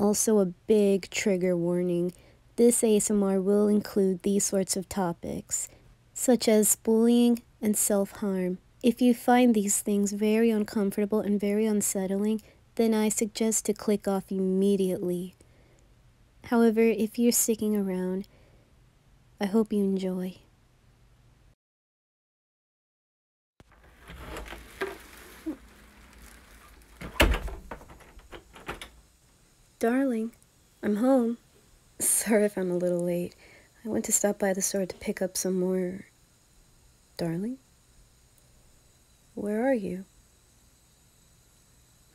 also, a big trigger warning this ASMR will include these sorts of topics, such as bullying and self harm. If you find these things very uncomfortable and very unsettling, then I suggest to click off immediately. However, if you're sticking around, I hope you enjoy. Darling, I'm home. Sorry if I'm a little late. I went to stop by the store to pick up some more. Darling? Where are you?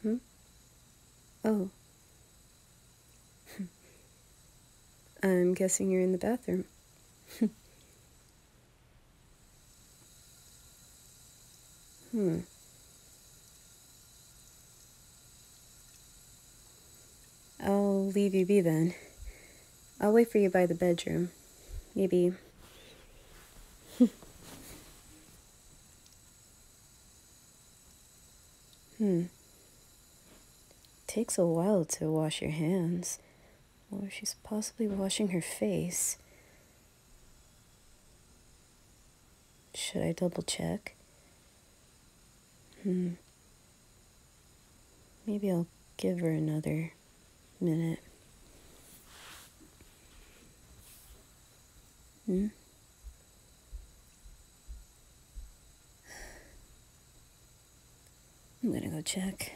Hmm? Oh. I'm guessing you're in the bathroom. Hmm. I'll leave you be then. I'll wait for you by the bedroom. Maybe. hmm. Takes a while to wash your hands. Or she's possibly washing her face. Should I double check? Hmm. Maybe I'll give her another minute. Hmm? I'm gonna go check.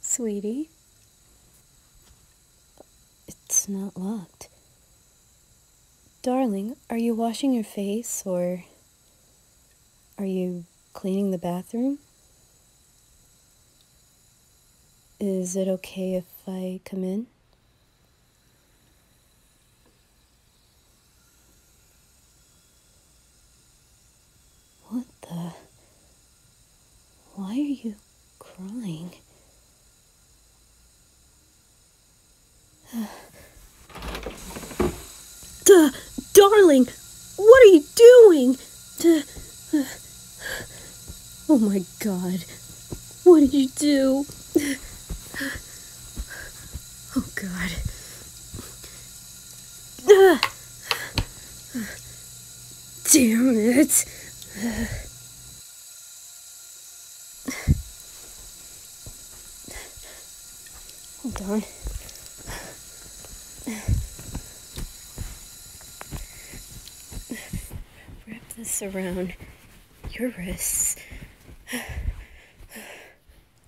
Sweetie, it's not locked. Darling, are you washing your face or are you cleaning the bathroom? Is it okay if I come in? What the? Why are you crying? Duh, darling, what are you doing? Duh, uh, oh my god. What did you do? Oh god. Damn it. Hold oh, on. Wrap this around your wrists.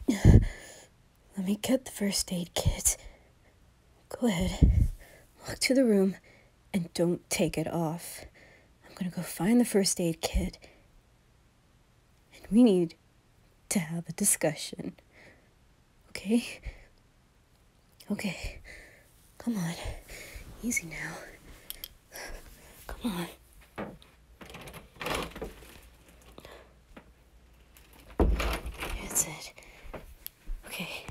Let me get the first aid kit. Go ahead, walk to the room, and don't take it off. I'm gonna go find the first aid kit, and we need to have a discussion. Okay? Okay. Come on. Easy now. Come on. That's it. Okay.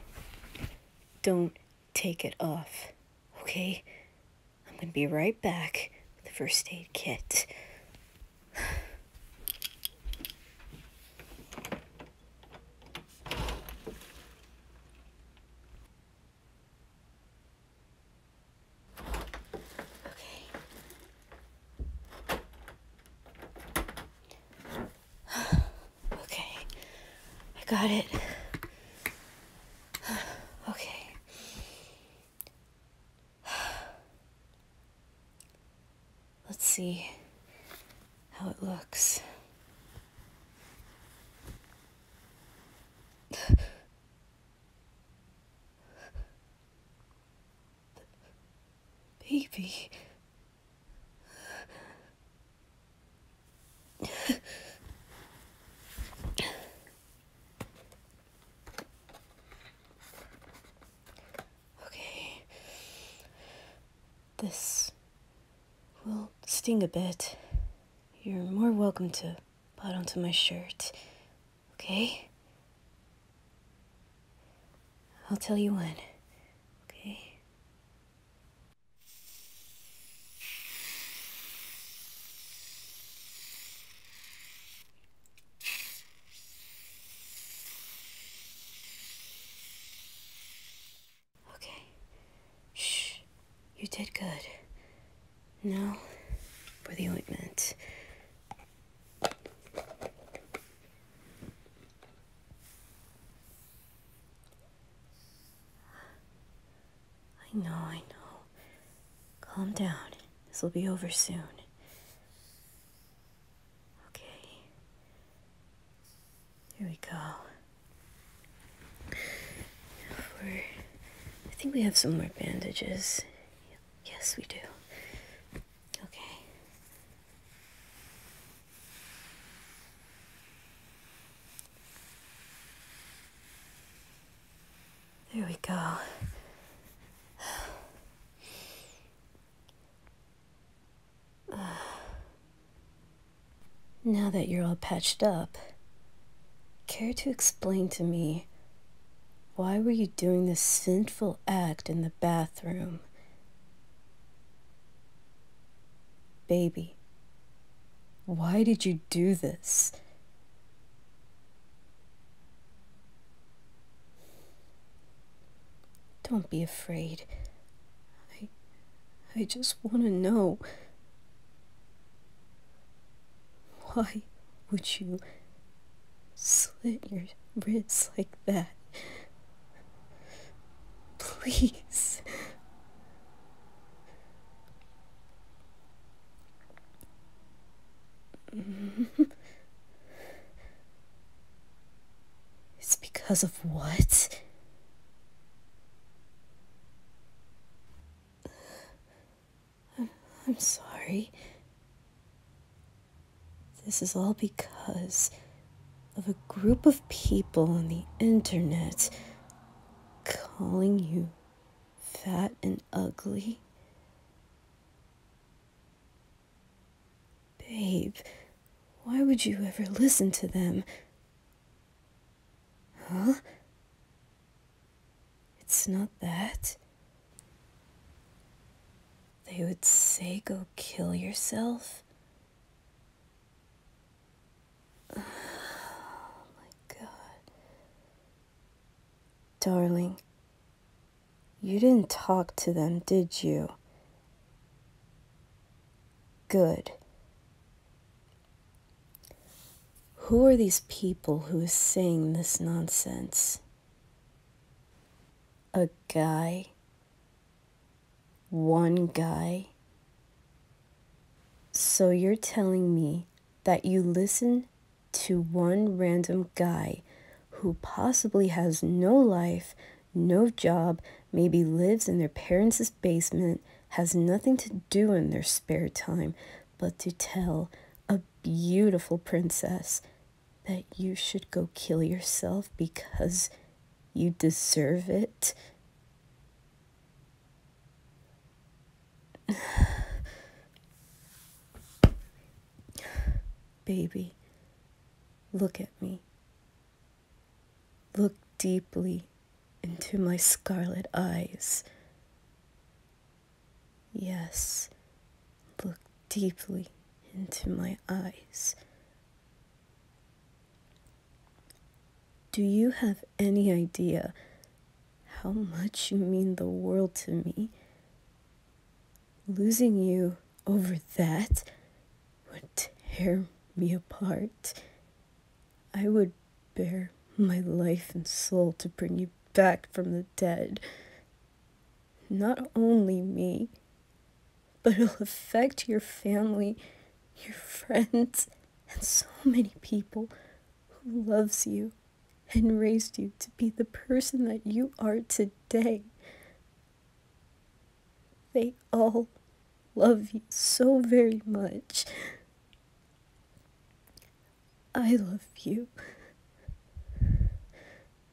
Don't take it off, okay? I'm gonna be right back with the first aid kit. Okay. okay. I got it. okay. Let's see how it looks. Baby. okay. This will sting a bit. You're more welcome to put onto my shirt, okay? I'll tell you when, okay? Okay. Shh. You did good. Now, for the ointment. I know, I know. Calm down. This will be over soon. Okay. Here we go. For, I think we have some more bandages. Yes, we do. Okay. There we go. Uh, now that you're all patched up, care to explain to me why were you doing this sinful act in the bathroom? Baby, why did you do this? Don't be afraid. I I just want to know. Why would you slit your wrists like that? Please. it's because of what? I'm, sorry. This is all because of a group of people on the internet calling you fat and ugly. Babe, why would you ever listen to them? Huh? It's not that. They would say go kill yourself? Oh my god. Darling, you didn't talk to them, did you? Good. Who are these people who is saying this nonsense? A guy? One guy? So you're telling me that you listen to one random guy who possibly has no life, no job, maybe lives in their parents' basement, has nothing to do in their spare time but to tell a beautiful princess that you should go kill yourself because you deserve it. Baby, look at me. Look deeply into my scarlet eyes. Yes, look deeply into my eyes. Do you have any idea how much you mean the world to me? Losing you over that would tear me apart. I would bear my life and soul to bring you back from the dead. Not only me, but it'll affect your family, your friends, and so many people who loves you and raised you to be the person that you are today. They all love you so very much. I love you.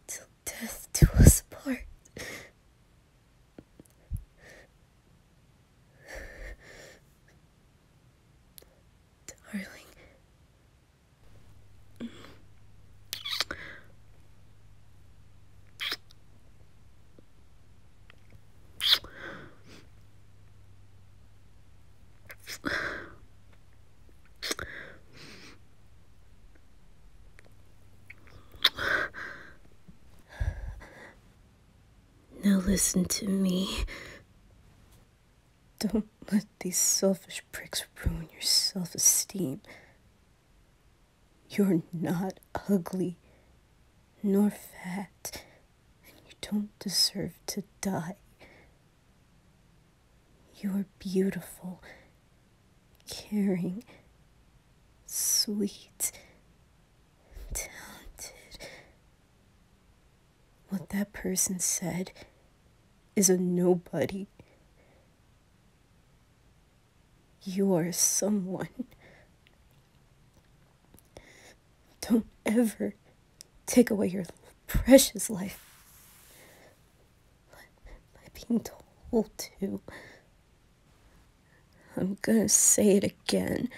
Till death do us part. Darling. Now listen to me. Don't let these selfish pricks ruin your self esteem. You're not ugly, nor fat, and you don't deserve to die. You're beautiful, caring, sweet, talented. What that person said is a nobody. You are someone. Don't ever take away your precious life by being told to. I'm gonna say it again.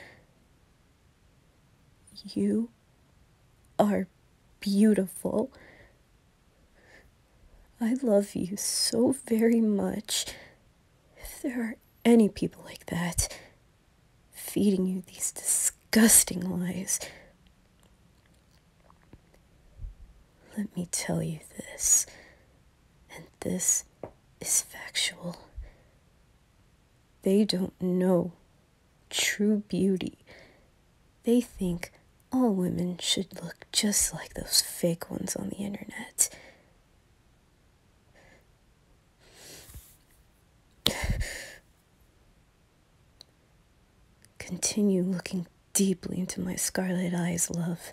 You are beautiful. I love you so very much. If there are any people like that, feeding you these disgusting lies, let me tell you this, and this is factual. They don't know true beauty. They think all women should look just like those fake ones on the internet. Continue looking deeply into my scarlet eyes, love.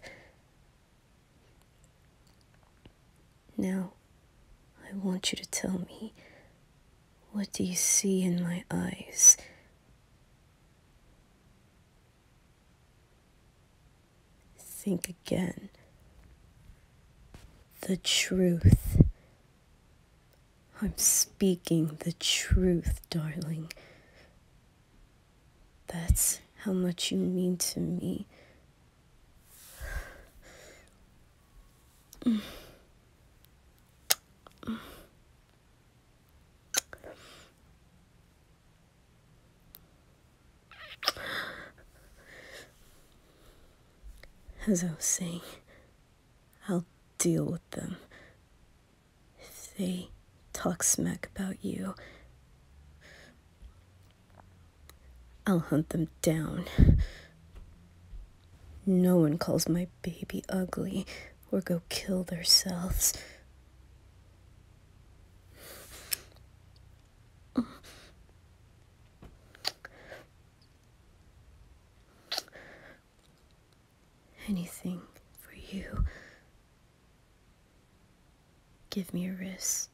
Now, I want you to tell me what do you see in my eyes? Think again. The truth. I'm speaking the truth, darling. That's how much you mean to me. As I was saying, I'll deal with them. If they talk smack about you, I'll hunt them down. No one calls my baby ugly or go kill themselves. Anything for you. Give me a wrist.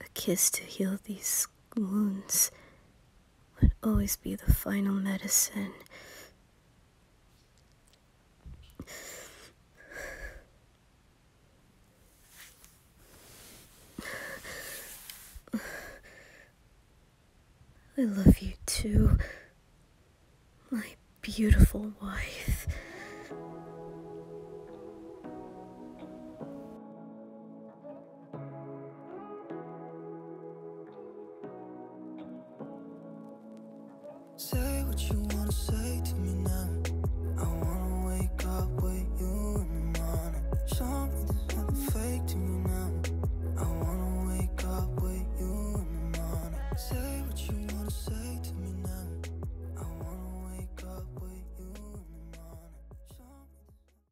A kiss to heal these wounds would always be the final medicine. I love you too, my beautiful wife. Say what you wanna say to me now I wanna wake up with you in the morning Show me this never fake to me now I wanna wake up with you in the morning Say what you wanna say to me now I wanna wake up with you in the morning